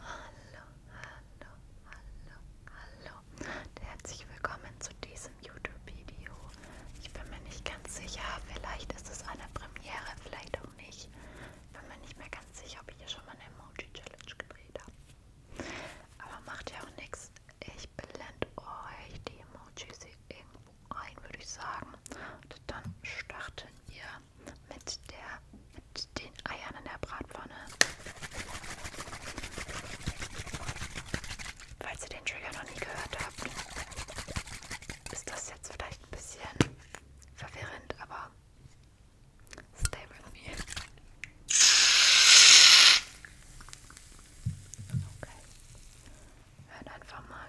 Hallo, hallo, hallo, hallo und herzlich willkommen zu diesem YouTube-Video. Ich bin mir nicht ganz sicher, vielleicht ist es eine Premiere, vielleicht auch nicht. Ich bin mir nicht mehr ganz sicher, ob ich hier schon mal eine Emoji-Challenge gedreht habe. Aber macht ja auch nichts. Ich blende euch die Emojis irgendwo ein, würde ich sagen. Und dann starten wir mit, der, mit den Eiern in der Bratpfanne. Falls ihr den Trigger noch nie gehört habt, ist das jetzt vielleicht ein bisschen verwirrend, aber stay with me. Okay. Hört einfach mal.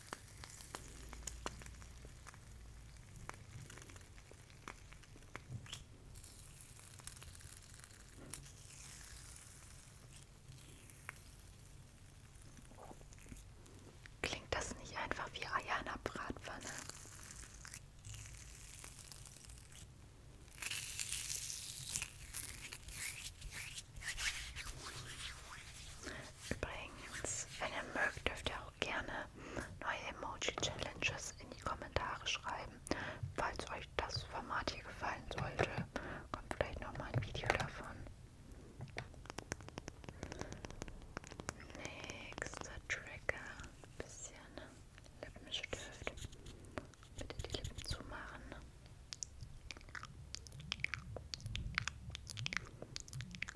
Klingt das nicht einfach wie Eier in der Bratpfanne? Übrigens, wenn ihr mögt, dürft ihr auch gerne neue Emoji-Challenges in die Kommentare schreiben. Falls euch das Format hier gefallen sollte, kommt vielleicht nochmal ein Video davon. Nächster Trigger. Ein bisschen Lippenstift. Bitte die Lippen zumachen.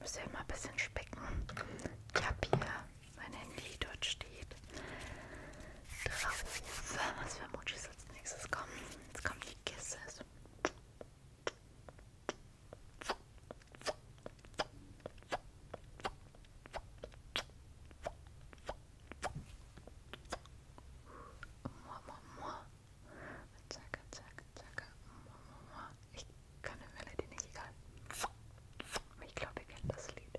Müssen wir mal ein bisschen specken. Ich habe hier mein Handy, dort steht drauf, was für Emojis was als nächstes kommt. Jetzt kommen die Kisses. Mua, mua, mua. Zacka, zacka, zacka. Mua, mua, mua. Ich kann die Melodie nicht egal. Ich glaube, ihr kennt das Lied.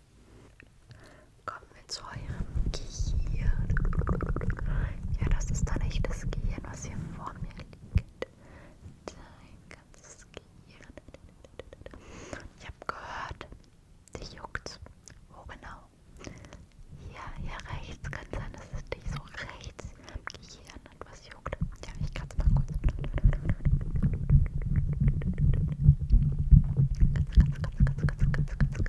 Kommen wir zu eurem Gehirn. Ja, das ist dann nicht das Gehirn, was hier vor mir liegt. Dein ganzes Gehirn. Ich habe gehört, dich juckt. Wo genau? Hier, hier rechts. Kann sein, dass es dich so rechts am Gehirn etwas juckt. Ja, ich kann es mal kurz. Ganz, ganz, ganz, ganz, ganz, ganz, ganz,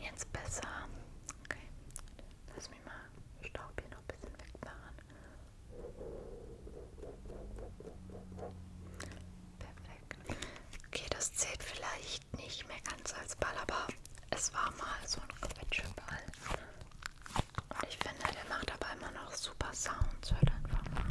Jetzt besser. Okay. Lass mich mal Staub hier noch ein bisschen wegmachen. Perfekt. Okay, das zählt vielleicht riecht nicht mehr ganz Salzball, aber es war mal so ein Quetscheball. Und ich finde, der macht aber immer noch super Sounds. Hört einfach mal.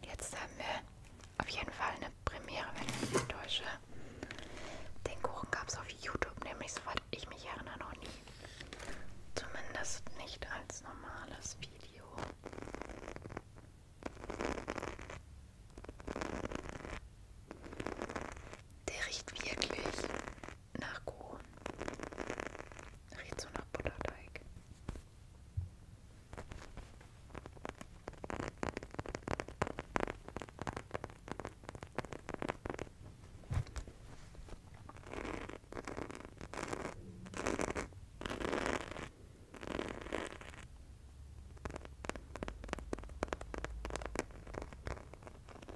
Jetzt haben wir auf jeden Fall eine Premiere, wenn ich mich nicht täusche. Den Kuchen gab es auf YouTube, nämlich soweit ich mich erinnere, noch nie. Zumindest nicht als normales Video. Der riecht wirklich nach Kuh. Riecht so nach Butterteig.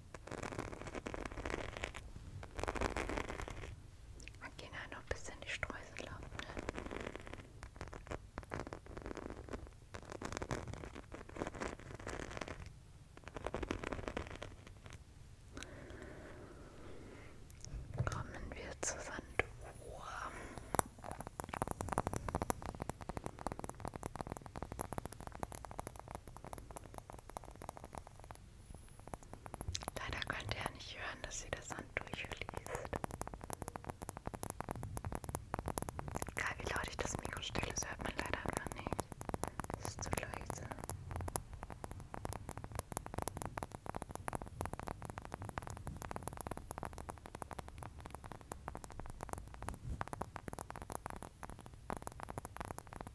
Wir gehen ja noch ein bisschen die Streusel ab. Ne? Kommen wir zur Sanduhr. Leider könnt ihr ja nicht hören, dass sie das Sand durchfließt. Egal wie laut ich das Mikro stelle, das hört man leider gar nicht. Es ist zu leise.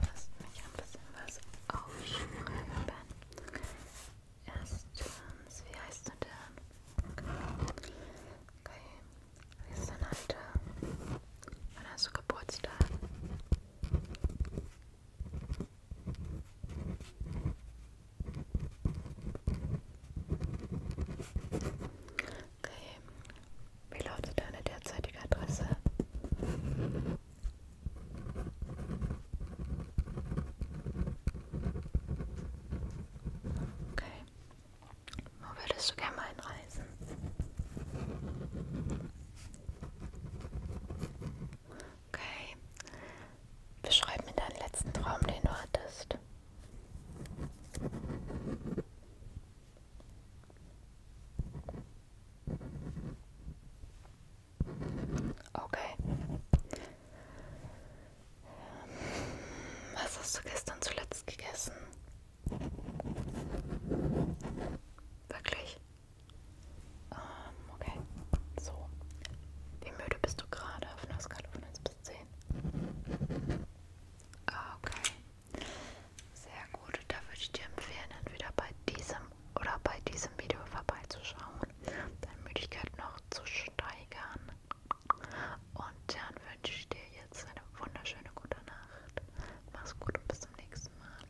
Lass mich ein bisschen was aufschreiben. Erstens, wie heißt du denn? Okay, wie ist dein Alter? Wann hast du Geburtstag? Okay. Wie lautet deine derzeitige Adresse? Okay. Wo würdest du gerne mal einreisen? Okay. Beschreib mir deinen letzten Traum, den du hattest. Okay. Was hast du gestern zuletzt gegessen? Wirklich? Ähm, okay. So. Wie müde bist du gerade auf einer Skala von 1 bis 10? Ah, okay. Sehr gut. Da würde ich dir empfehlen, entweder bei diesem oder bei diesem Video vorbeizuschauen, deine Müdigkeit noch zu steigern. Und dann wünsche ich dir jetzt eine wunderschöne gute Nacht. Mach's gut und bis zum nächsten Mal.